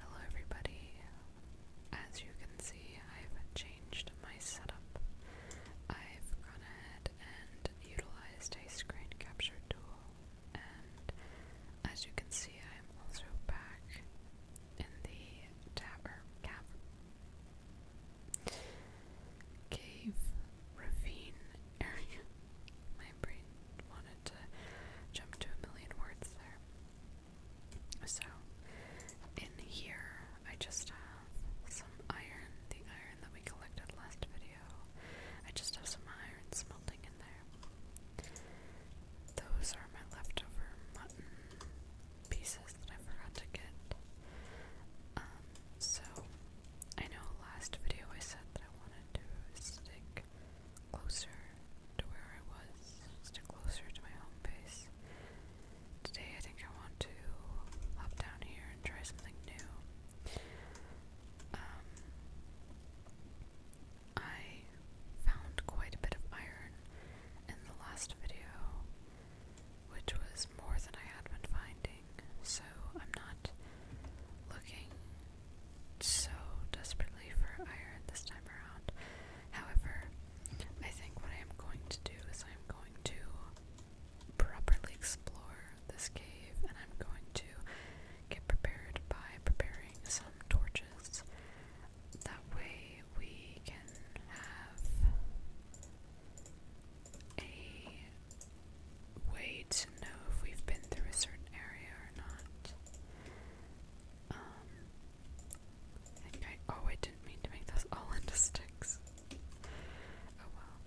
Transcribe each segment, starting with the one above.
Hello everybody. As you can see, I've changed my setup. I've gone ahead and utilized a screen capture tool, and as you can see, I'm also back in the tower cave ravine area. my wanted to jump to a million words there. So, in here, I just have some iron, the iron that we collected last video. I just have some iron smelting in there. Those are my leftover pieces that I forgot to get. Um, so, I know last video I said that I wanted to stick closer to where I was, still closer to my home base. Today I think I want to hop down here and try something new. Um, I found quite a bit of iron in the last video, which was more than I had been finding, so I'm not looking so desperately for iron this time around. However, I think what I am going to do is I am going to properly explore this cave and I'm going to get prepared by preparing some torches. That way we can have a way to know if we've been through a certain area or not. Um, oh, I didn't mean to make those all into sticks. Oh well.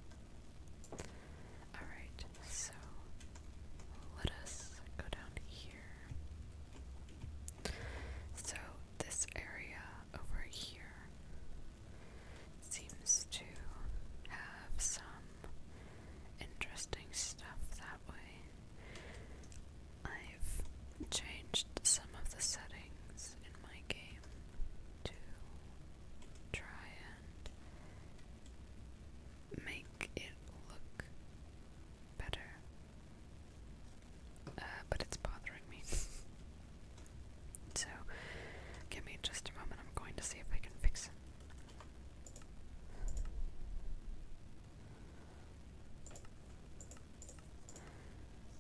Alright, so let us go down here. So, this area over here seems to have some interesting stuff that way. I've changed some of the settings in my game to try and make it look better. Uh, but it's bothering me. so, give me just a moment. I'm going to see if I can fix it.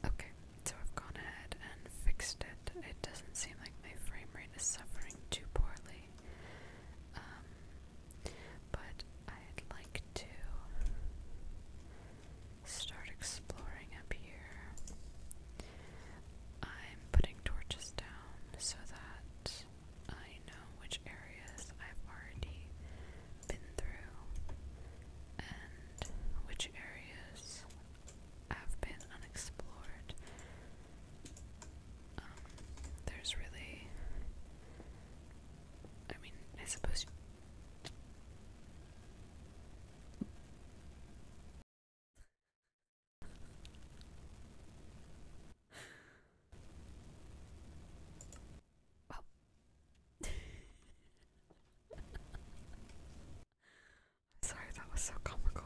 Okay, so I've gone ahead and fixed it. It doesn't seem like my frame rate is suffering too poorly. Um, but I'd like to start exploring up here. I'm putting torches down so that I know which areas I've already been through and which areas have been unexplored. Um, there's really, I mean, I suppose. Sorry, that was so comical.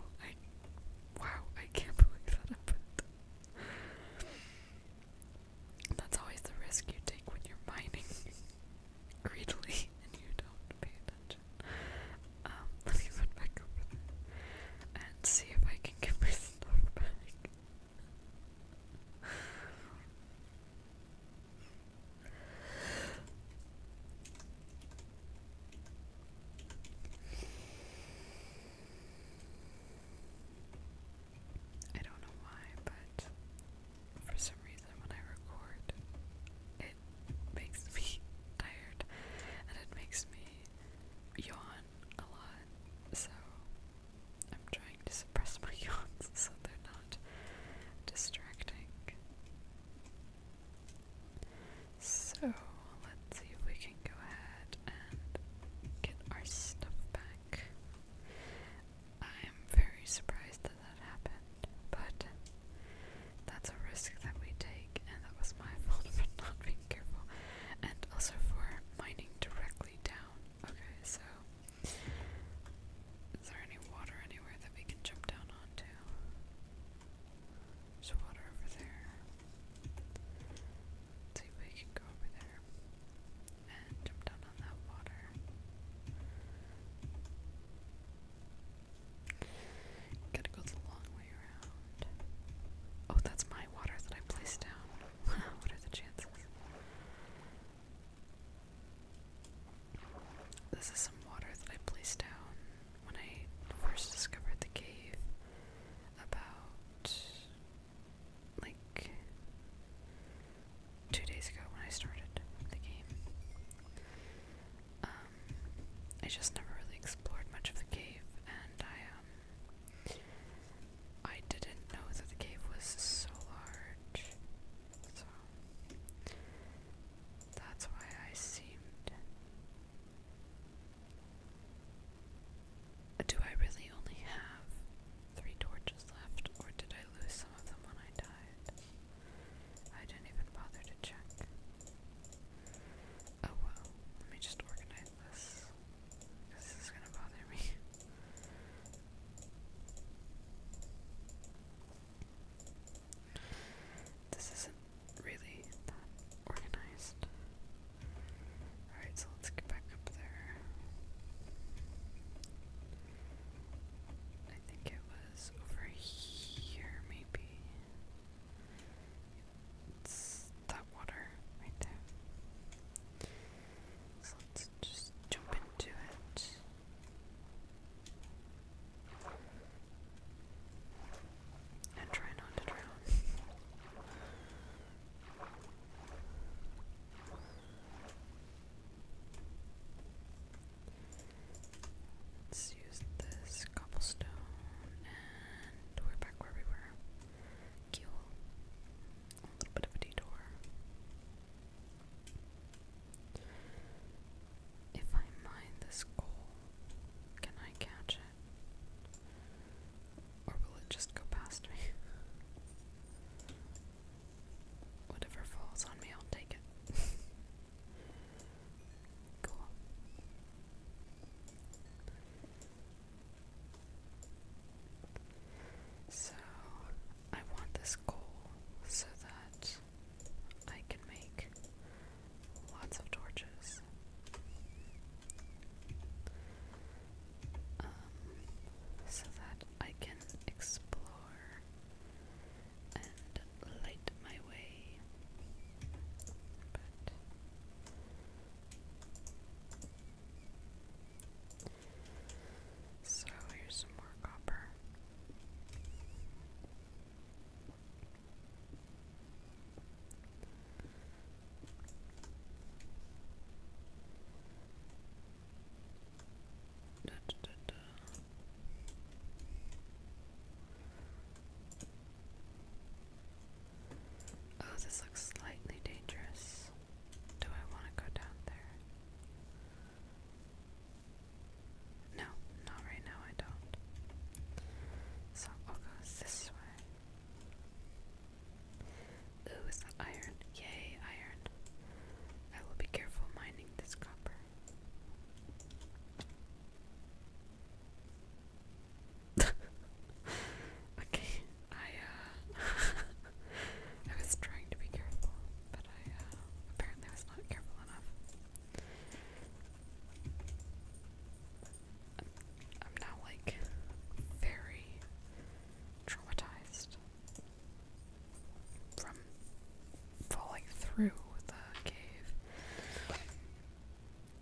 wow, I can't believe that happened. That's always the risk you take when you're mining greedily and you don't pay attention. Um, let me put back over and see if I can get my stuff back. I don't know why, but for some reason, when I record, it makes me tired and it makes me yawn a lot. So I'm trying to suppress my yawns so they're not distracting. So let's see if we can go ahead and get our stuff back. I am very surprised that that happened, but that's a risk that we take, and that was my fault for not being careful. And also for mining directly down Okay, so is there any water anywhere that we can jump down onto? There's water over there. see if we can go over there and jump down on that water. Gotta go the long way around. Oh, that's my water that I placed down. what are the chances? This is some water that I placed down when I first discovered the cave about like two days ago when I started the game. Um, I just never really explored much of the cave, and I um, I didn't know that the cave was so large, so that's why I seemed. Do I really only have three torches left, or did I lose some of them when I died? I didn't even bother to check. Oh well, let me just organize this. This is gonna bother me. This isn't really that organized. Alright, so let's get back up there. I think it was over here, maybe. that water right there let's just jump into it. And try not to drown. Let's use this cobblestone and we're back where we were. Cool a little bit of a detour. If I mine this goal, can I catch it? Or will it just go past me? Whatever falls on me, I'll take it. cool. So I want this coal so that I can make lots of torches. Um, so that I can explore and light my way. So here's some more copper. Oh, this looks slightly dangerous. Do I want to go down there? No, not right now, I don't. So I'll go this way. Ooh, is that iron? Yay, iron. I will be careful mining this copper. okay, I, uh. I was trying to be careful, but I uh, apparently was not careful enough. I'm now like very traumatized from falling through the cave.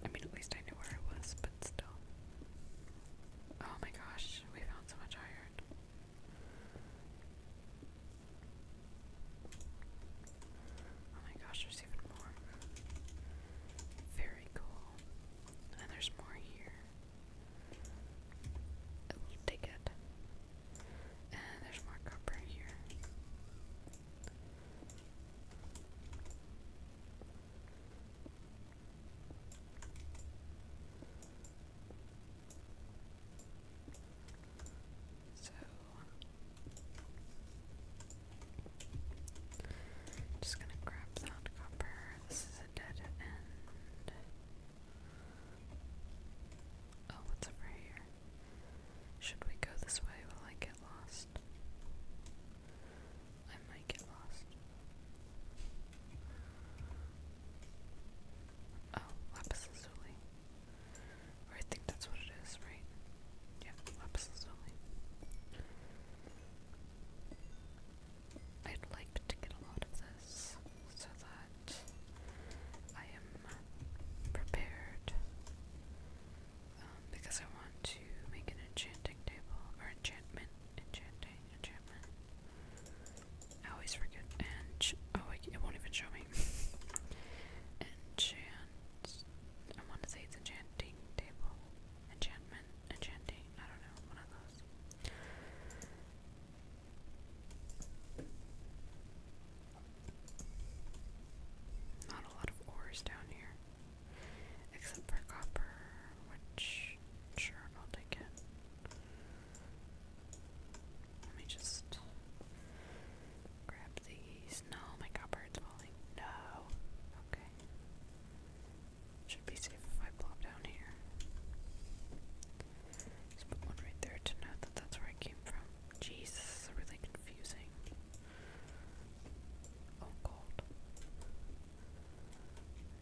I mean, at least I knew where I was, but still. Oh my gosh, we found so much iron iron. Oh my gosh, there's even more. Very cool. And there's more here. Oh, I will And there's more copper here. So just gonna grab that copper. This is a dead end. Oh, what's over here? Should we go this way? Will I get lost? get lost. Oh, lapis lazuli. I think that's what it is, right? Yeah, lapis lazuli. I'd like to get a lot of this so that I am prepared. Um, because I want to make an enchanting table for enchantment, enchanting, enchantment. I always forget. And oh, it won't even show me. Enchant. I want to say it's enchanting table, enchantment, enchanting. I don't know, one of those. Not a lot of ores down here, except for copper, which sure I'll take it. Let me just grab these. No, my god, falling. No. Okay. Should be safe if I plop down here. Just put one right there to note that that's where I came from. Jesus, this is really confusing. Oh, cold.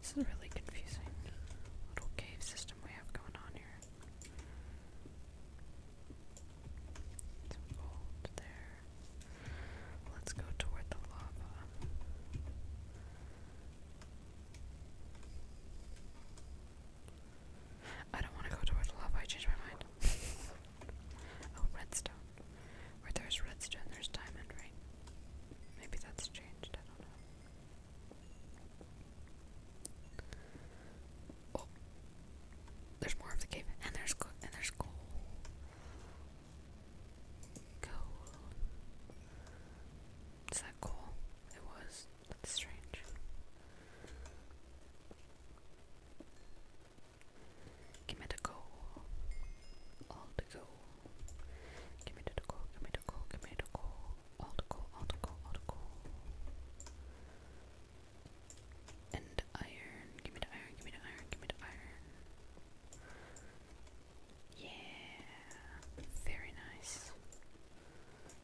This is a really confusing little cave system we have going on here. Some gold there. Let's go toward the lava. I don't want to go toward the lava, I changed my mind. oh, redstone. Where there's redstone, there's diamond, right? Maybe that's changed, I don't know. Oh, there's more of the cave, and there's and there's gold. Gold. Is that cool? It was. strange. Give me the gold. All the gold. Give me the coal, give me the coal, give me the coal. All the coal, all the coal, all the coal. And iron. Give me the iron, give me the iron, give me the iron. Yeah. Very nice.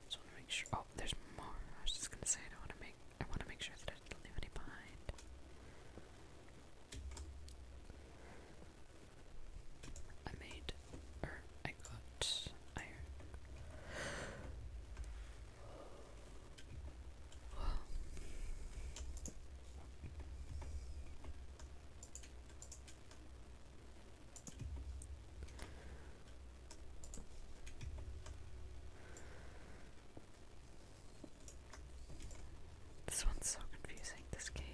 Just wanna make sure oh there's more. I was just gonna say I don't wanna make I wanna make sure that I didn't leave any behind. I made, or I got iron. This one's so confusing, this cave.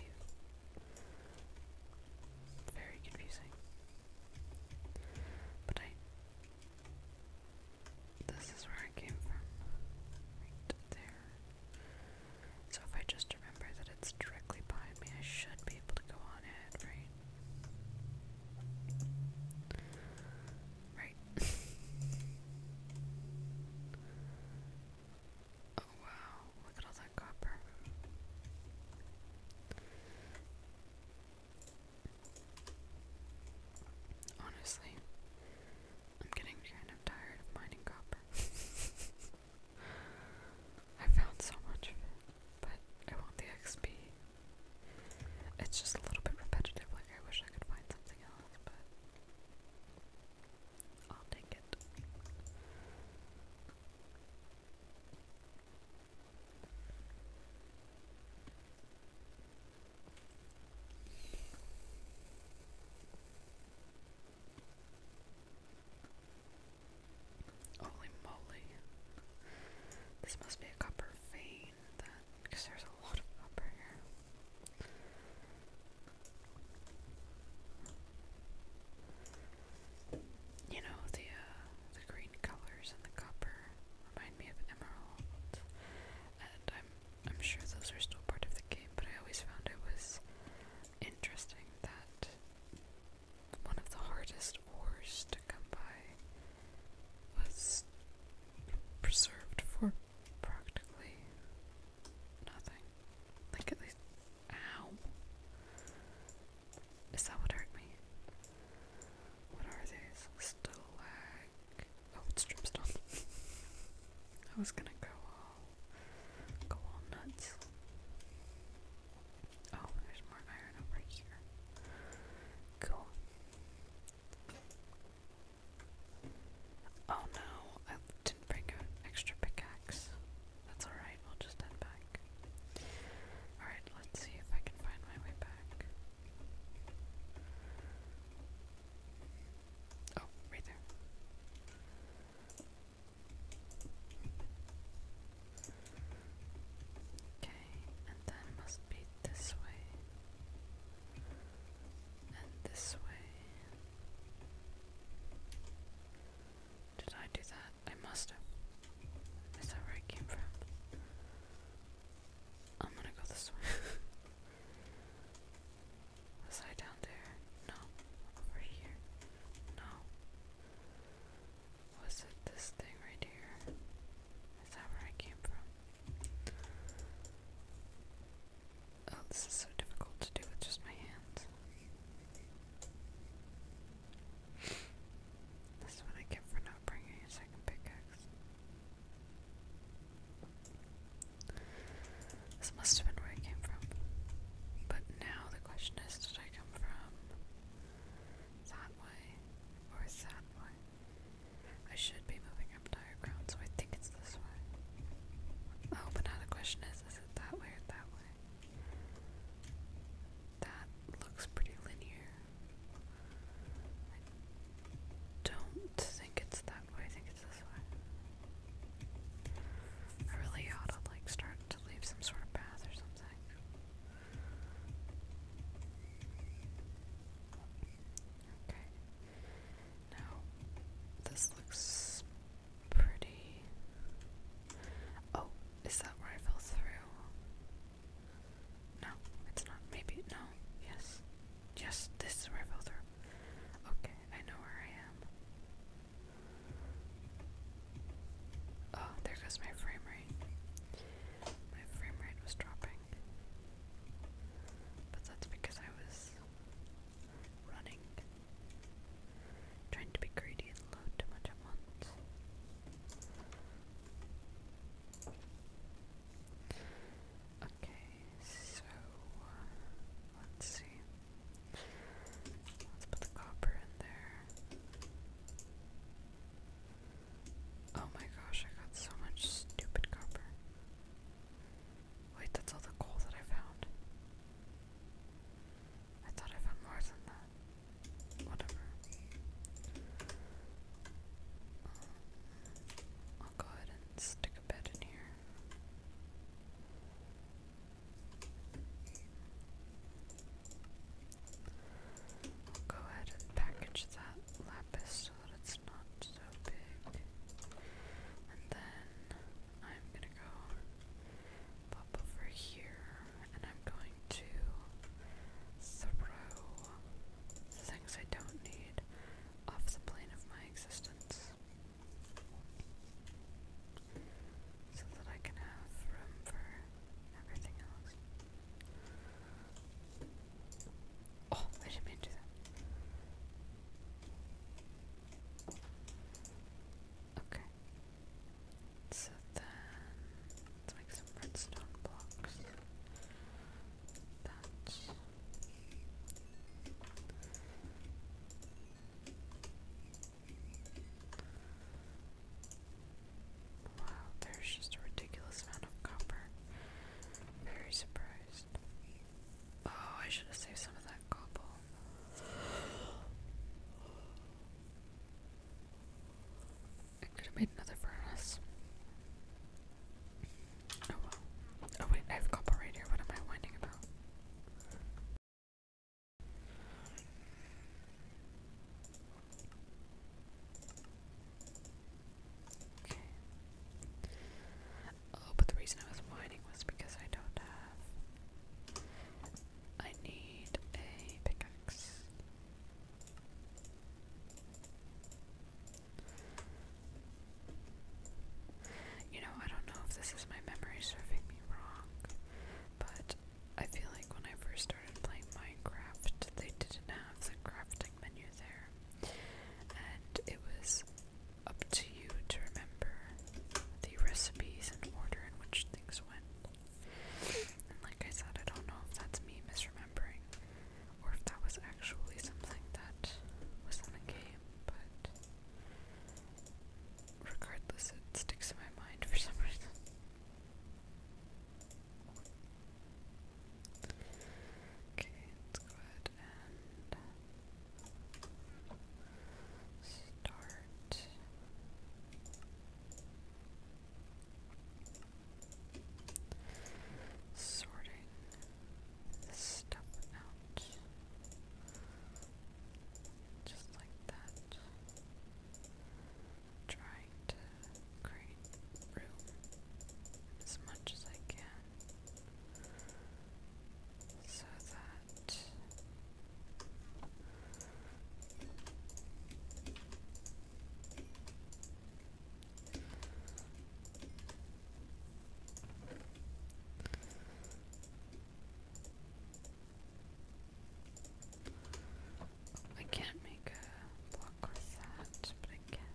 Very confusing. But I. This is where I came from. Right there. So if I just remember that it's directly behind me, I should be able to go on ahead, right? Right. Oh, Oh, wow, look at all that copper. Honestly, I'm getting kind of tired of mining copper. I found so much of it, but I want the XP. It's just a little bit repetitive, like I wish I could find something else, but I'll take it. Holy moly. This must be a copper vein then, because there's a lot of copper here. You know, the uh, the green colors and the copper remind me of emeralds, and I'm I'm sure those are still part of the game. But I always found it was interesting that one of the hardest ores to come by was preserved for practically nothing. Like at least. Ow. Is that what hurt me? What are these? Stalag. Oh, it's dripstone. I was gonna go all. go all nuts. Oh, there's more iron over here. Cool. Oh no, I didn't bring an extra pickaxe. That's alright, we'll just head back. Alright, let's see if I can find my way back. Oh, right there. Okay, and that must be this way. And this way. Did I do that? I must have. Is that where I came from? I'm gonna go this way. Was I down there? No. Over here? No. Was it this thing right here? Is that where I came from? Oh, this is so difficult to do with just my hands. This one I get for not bringing a second pickaxe. This must have been where I came from. But now the question is did I come from that way or that way? I should be moving up higher ground, so I think it's this way. Oh, but now the question is is it that way or that way? That looks pretty linear. I don't think it's that way, I think it's this way. I really ought to like start to leave some sort of path or something. Okay. Now this looks pretty. Oh, is that where I fell through? No, it's not. Maybe, no, yes. Yes, this is where I fell through. Okay, I know where I am. Oh, there goes my frame rate. My frame rate was dropping. But that's because I was running. Trying to be greedy and load too much at once. Okay, so uh, let's see. Let's put the copper in there. Oh my gosh, I got so much stupid copper. Wait, that's all the coal that I found. I thought I found more than that. Whatever. I'll go ahead and stick a bed in here. I'll go ahead and package that lapis so that it's not so big. And then I'm gonna go pop over here, and I'm going to throw things I don't need off the plane of my existence. So that I can have room for everything else. Oh, I didn't mean to do that. Okay. So then, let's make some redstone blocks. Wow, there's just a ridiculous amount of copper. Very surprised. Oh, I should have saved some of that cobble. I could have made another furnace. Oh well. Oh wait, I have copper right here. What am I whining about? Okay. Oh, but the reason I was whining was because I don't have I need a pickaxe. You know, I don't know if this is my memory serving me wrong, but I feel like when I first started playing Minecraft, they didn't have the crafting menu there, and it was up to you to remember the recipes and order in which things went. And like I said, I don't know if that's me misremembering or if that was actually something that was in the game, but regardless, it sticks in my mind for some reason. Okay, let's go ahead and start Sorting this stuff out just like that. Trying to create room as much as I can so that I can't make a block with that, but I can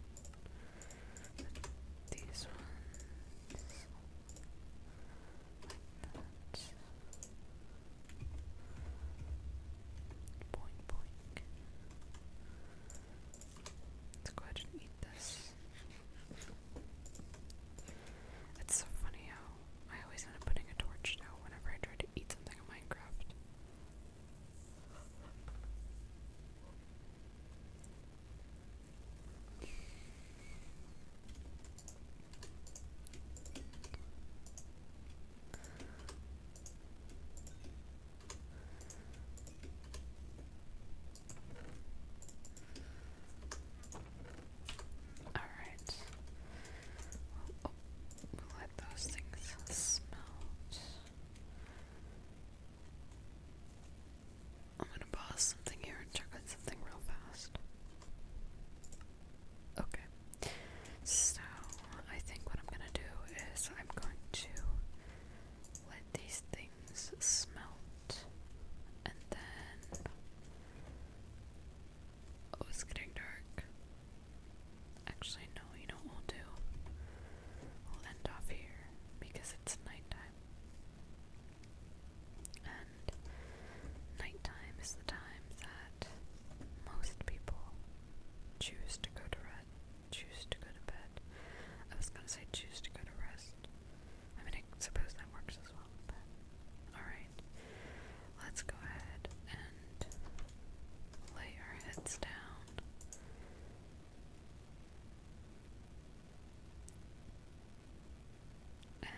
these ones Boink, Let's go ahead and eat this. It's so funny how I always end up putting a torch down whenever I try to eat something in Minecraft. All right. let those things smelt. I'm gonna pause something here and check on something real fast. Okay. So, I think what I'm gonna do is I'm going to let these things smelt and then. Oh, it's getting dark. Actually, no, you know what we'll do? We'll end off here because it's nighttime. And nighttime is the time that most people choose to go to rest, choose to go to bed. I was gonna say choose to go to rest. I mean, I suppose that works as well, but alright. Let's go ahead and lay our heads down. And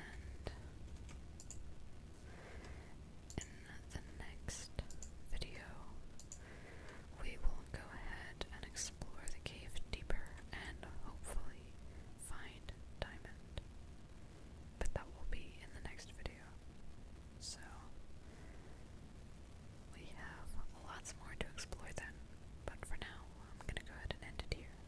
in the next video, we will go ahead and explore the cave deeper and hopefully find diamond. But that will be in the next video. So, we have lots more to explore then, but for now, I'm gonna go ahead and end it here.